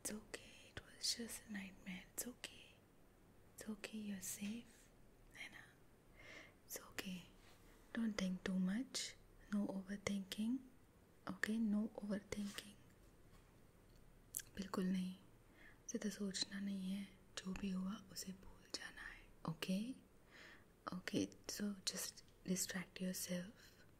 It's okay, it was just a nightmare. It's okay. It's okay, you're safe. Anna, it's okay. Don't think too much. No overthinking. Okay, no overthinking. बिल्कुल नहीं ज़्यादा सोचना नहीं है जो भी हुआ उसे भूल जाना है okay okay so just distract your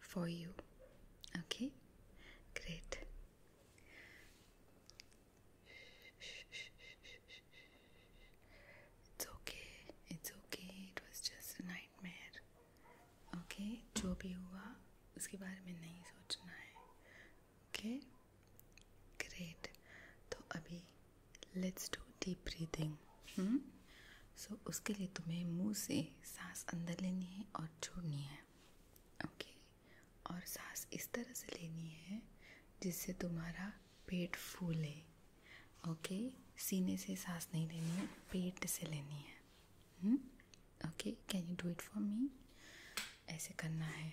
for you. Okay? Great. It's okay. It's okay. It was just a nightmare. Okay? जो भी हुआ उसके बारे में नहीं सोचना है ओके ग्रेट तो अभी let's do deep breathing so उसके लिए तुम्हें मुंह से सांस अंदर लेनी है और छोड़नी है ओके और सांस इस तरह से लेनी है जिससे तुम्हारा पेट फूले ओके सीने से सांस नहीं लेनी है पेट से लेनी है okay can you do it for me ऐसे करना है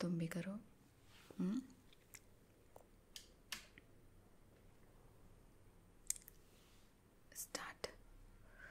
तुम भी करो start hmm.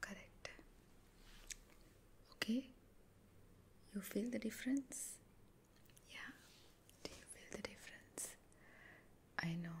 Correct. Okay, you feel the difference? Yeah, do you feel the difference? I know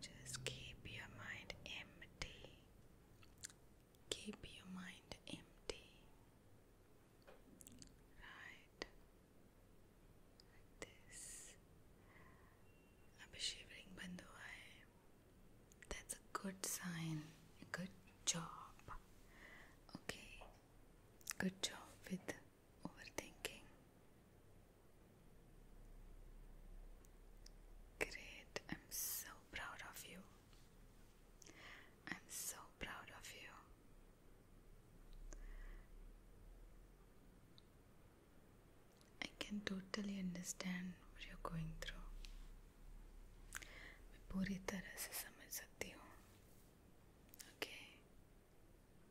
Just keep your mind empty. Keep your mind empty. Right. Like this. अब shivering बंद हुआ है. That's a good sign. Good job. Okay. Good job with overthinking. Great, I'm so proud of you. I'm so proud of you. I can totally understand what you're going through. मैं पूरी तरह okay?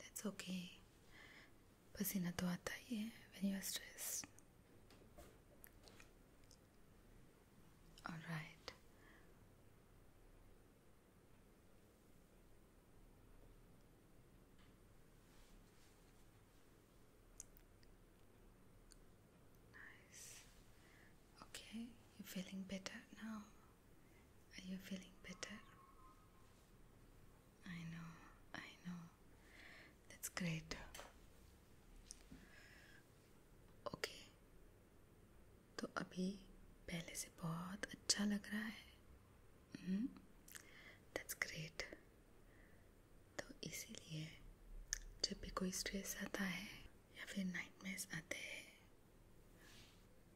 that's okay पसीना तो आता ही है when you are stressed all right nice okay you're feeling better now are you feeling better I know, I know. That's great. Okay तो अभी पहले से बहुत अच्छा लग रहा है दैट्स हम्म, ग्रेट तो इसीलिए जब भी कोई स्ट्रेस आता है या फिर नाइट मेस आते हैं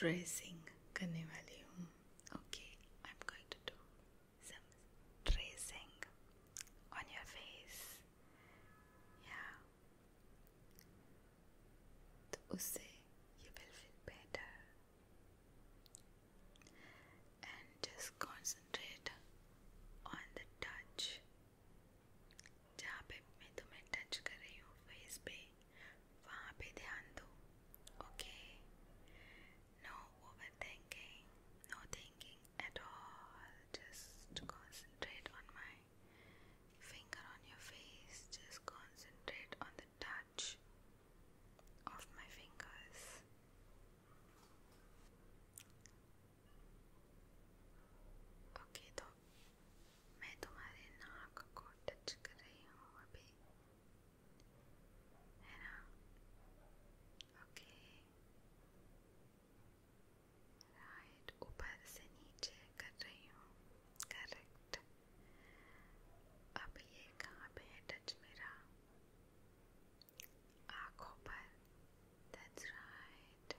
tracing करने वाली हूँ okay I'm going to do some tracing on your face yeah तो उससे you will feel better and just concentrate on the touch जहाँ पे मैं तुम्हें टच कर रही हूँ फेस पे वहाँ पे ध्यान दो okay no overthinking no thinking at all just concentrate on my finger on your face just concentrate on the touch of my fingers okay तो मैं तुम्हारे नाक को टच कर रही हूँ अभी है ना ओके राइट ऊपर से नीचे कर रही हूँ करेक्ट अब ये कहाँ पे है टच मेरा आँखों पर that's right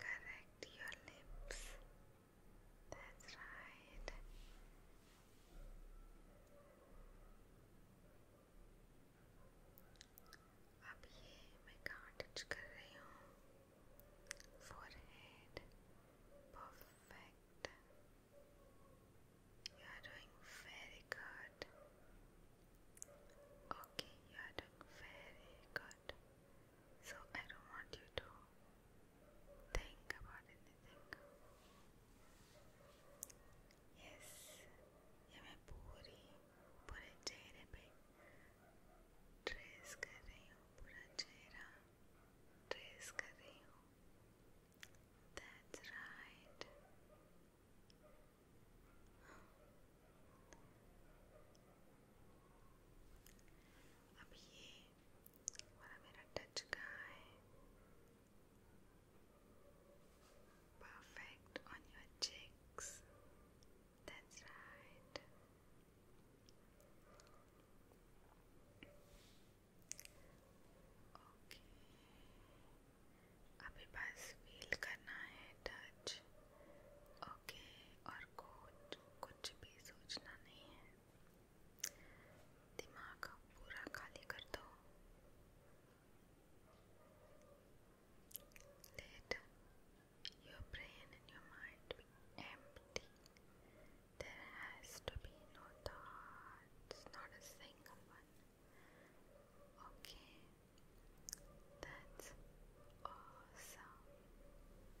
Correct your lips. That's right. अब ये मैं कहाँ टच कर Forehead. Perfect. You are doing very good. Okay, you are doing very good. So I don't want you to think about anything. Yes, ये मैं पूरी पूरे चेहरे पे ट्रेस कर That's right. अब ये वाला मेरा टच कहाँ है perfect on your cheeks that's right okay अभी बस फील करना है टच ओके और कोट कुछ भी सोचना नहीं है दिमाग पूरा खाली कर दो Later, your brain and your mind will be empty. There has to be no thoughts, not a single one. Okay, that's awesome.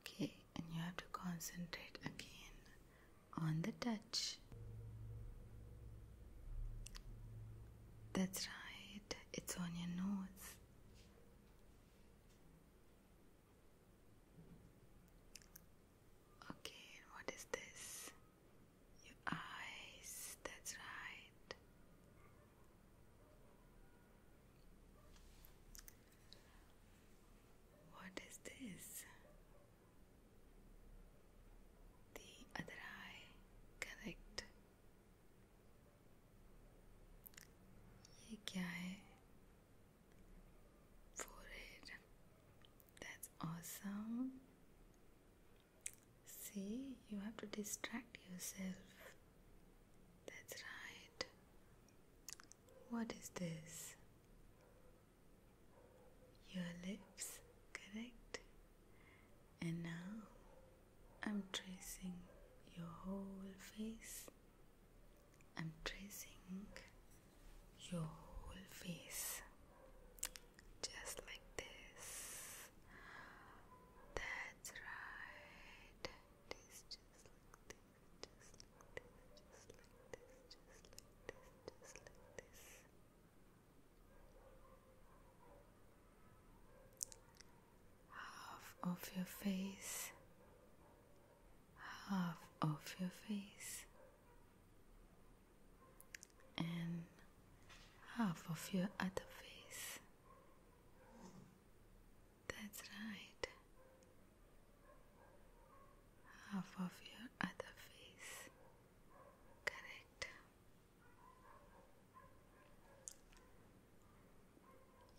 Okay, and you have to concentrate again on the touch. That's right, it's on your nose. Okay, what is this? Your eyes, that's right. What is this? The other eye, correct. ये क्या That's awesome. See, you have to distract yourself. That's right. What is this? Your lips, correct? And now I'm tracing your whole face. I'm tracing your whole face just like this. That's right. It is just like this just like this, just like this, just like this, just like this. Half of your face, half of your face, and half of your other face. That's right. Half of your other face. Correct.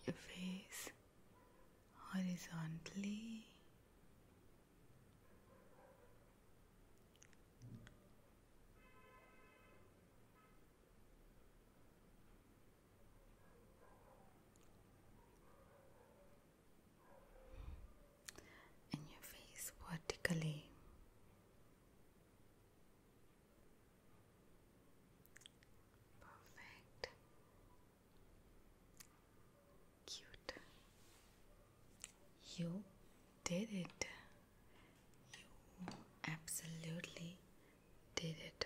Your face horizontally and your face vertically. Perfect. Cute. You did it. You absolutely did it.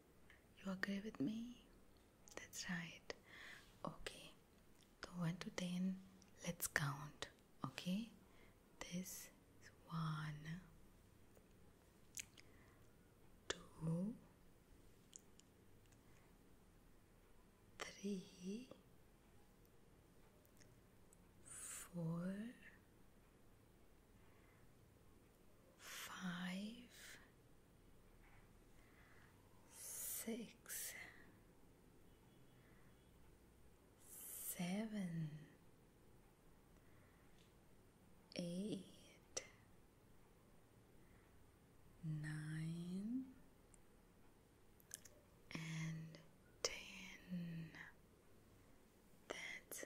You agree with me? That's right. Okay. So 1 to 10, let's count. Okay? This is 1, five, six, seven, eight, nine, and ten. That's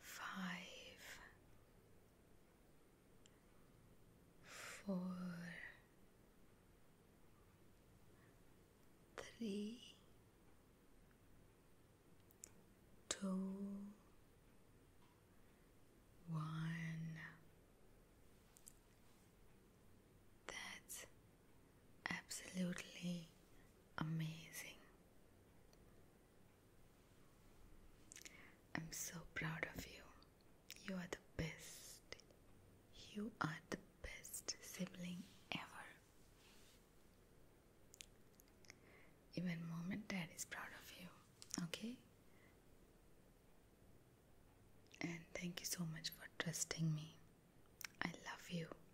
five, four, three, two, one. That's absolutely amazing. I'm so proud of you. You are the best. You are the best sibling ever. Even mom and dad is proud of you, okay? And thank you so much for trusting me. I love you.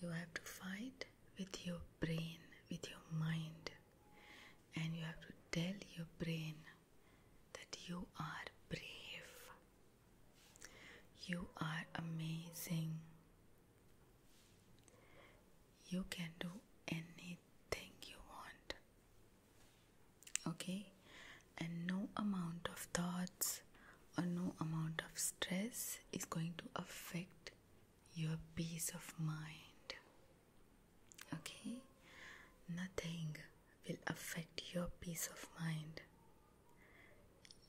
you have to fight with your brain, with your mind, and you have to tell your brain that you are brave, you are amazing, you can do anything you want. Okay, and no amount of thoughts or no amount of stress is going to affect your peace of mind. Okay? Nothing will affect your peace of mind.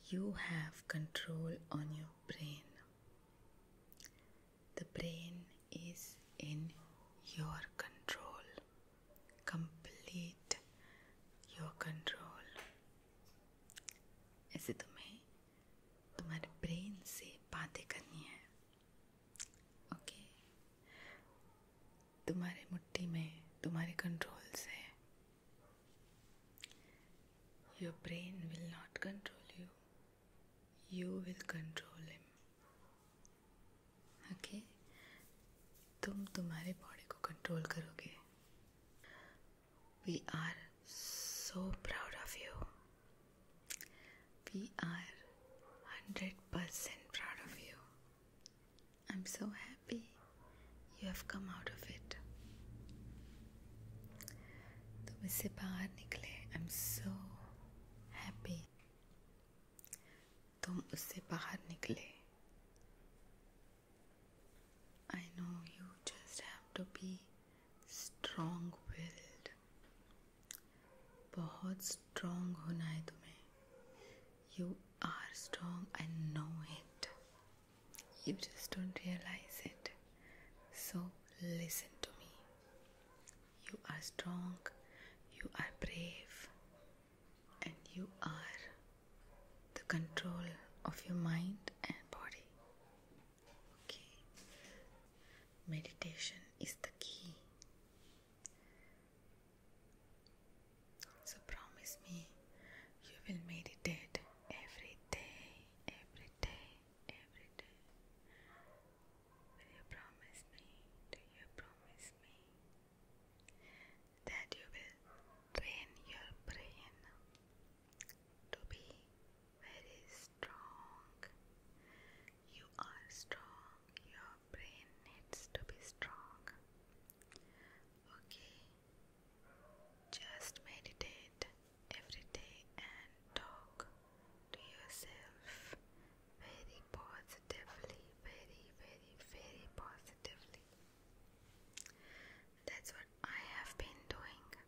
You have control on your brain. The brain is in your control. Complete your control. ऐसे तुम्हें तुम्हारे brain से बातें करनी है okay तुम्हारे मुट्ठी में तुम्हारे कंट्रोल से your brain will not control you you will control him okay तुम तुम्हारे बॉडी को कंट्रोल करोगे We are so proud of you. We are 100% proud of you. I'm so happy you have come out of it. तुम इससे बाहर निकले I am so happy तुम उससे बाहर निकले I know you just have to be strong willed बहुत strong होना है तुम्हें you are strong I know it you just don't realise it so listen to me you are strong you are brave and you are the control of your mind and body. Okay. Meditation is the key. So promise me you will meditate every day, every day, every day. Will you promise me? Do you promise me that you will train your brain to be very strong. You are strong, your brain needs to be strong. Okay, just meditate every day and talk to yourself very positively, very, very, very positively. That's what I have been doing.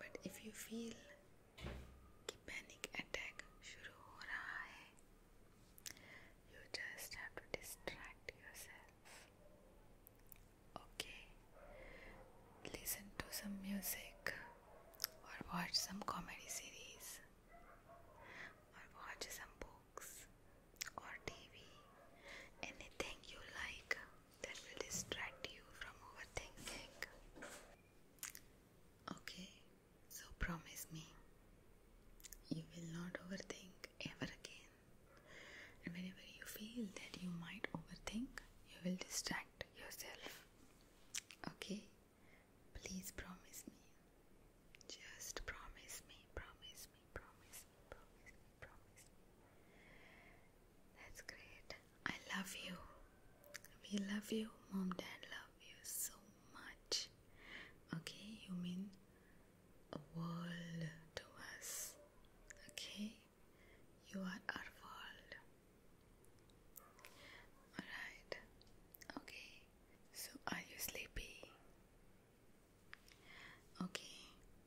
But if you feel कि panic attack शुरू हो रहा है you just have to distract your self okay listen to some music और watch some comedy series और watch some books or TV, anything you like that will distract you from overthinking. Okay, so promise me you will not overthink ever again. And whenever you feel that you might overthink, you will distract yourself. Okay, please promise me. Just promise me, promise me, promise me, promise me promise. That's great. I love you. We love you. Mom, dad love you so much. Okay, you mean a world to us. Okay, you are our world. Alright, okay. So, are you sleepy? Okay,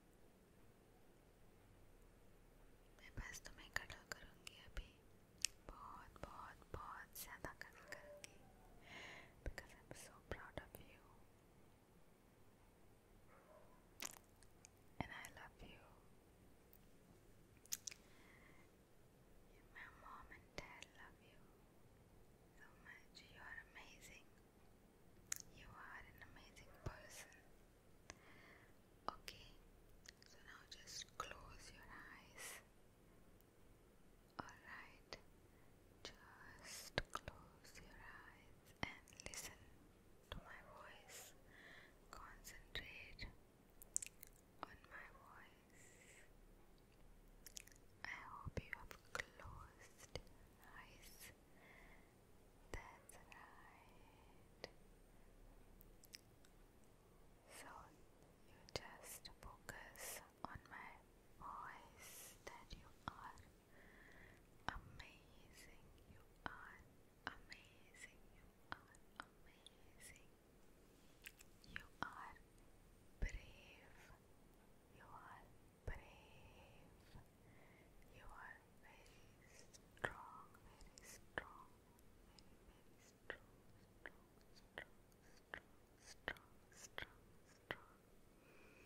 तो मैं बस तुम्हें कड़ा करूँगी अभी बहुत बहुत बहुत ज़्यादा कड़ा करूँगी because I am so proud of you and I love you My mom and dad love you so much. You are amazing. You are an amazing person. Okay, so now just close your eyes. Alright, just close your eyes and listen to my voice. Concentrate on my voice. I hope you have closed eyes that's right. So you just focus on my voice that you are amazing. You are amazing. You are amazing. You are brave. You are brave. You are very strong, very strong, very, very strong, strong, strong, strong, strong.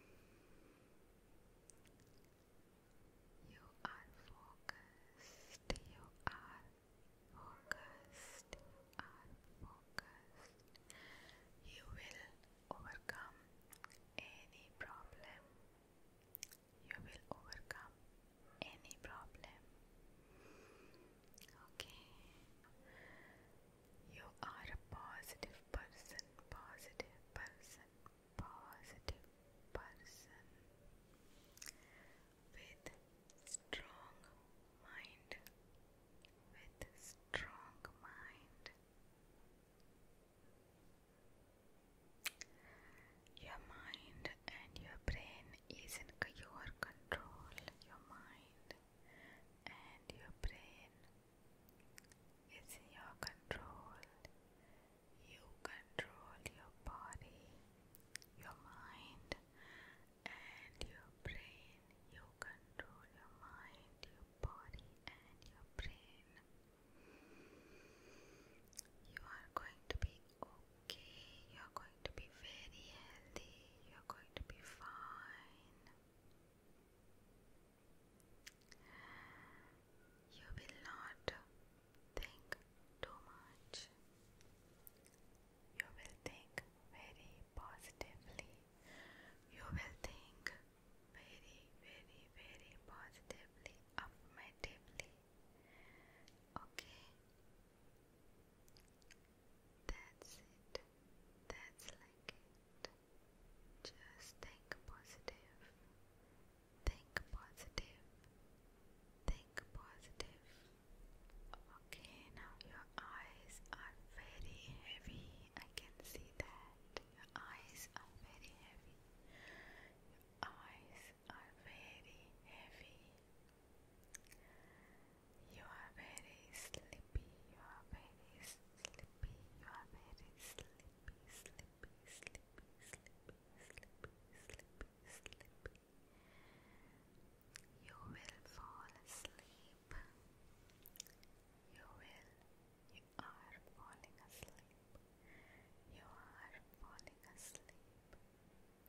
You are focused, you are focused, you are focused. You will overcome any problem you will overcome any problem. Okay, you are a positive person, positive person, positive person with strong mind, with strong mind. Your mind and your brain is in your control. Your mind and your brain is in your control. You control your body, your mind, and your brain. You control your mind, your body, and your brain. You are going to be okay, you are going to be very healthy, you are going to be fine. You will not think too much. You will think very positively. You will think very, very, very positively, affirmatively. Okay, that's it. That's like it. Just think positive. Think positive. Think positive. Okay, now your eyes are very heavy. I can see that. Your eyes are very heavy eyes are very heavy. You are very sleepy, you are very sleepy, you are very sleepy, sleepy, sleepy, sleepy, sleepy, sleepy, sleepy. You will fall asleep. You will, are falling asleep. You are falling asleep.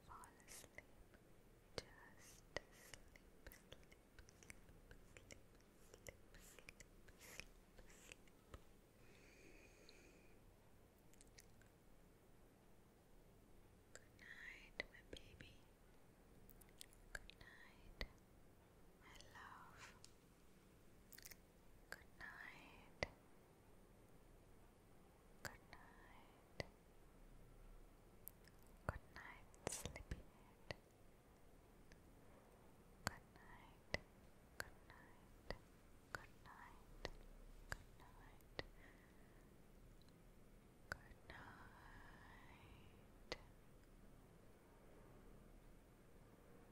Fall asleep. Just sleep, Good night, my baby. Good night, my love. Good night. Good night. Good night, sleepyhead. Good night. Good night. Good night. Good night. Good night.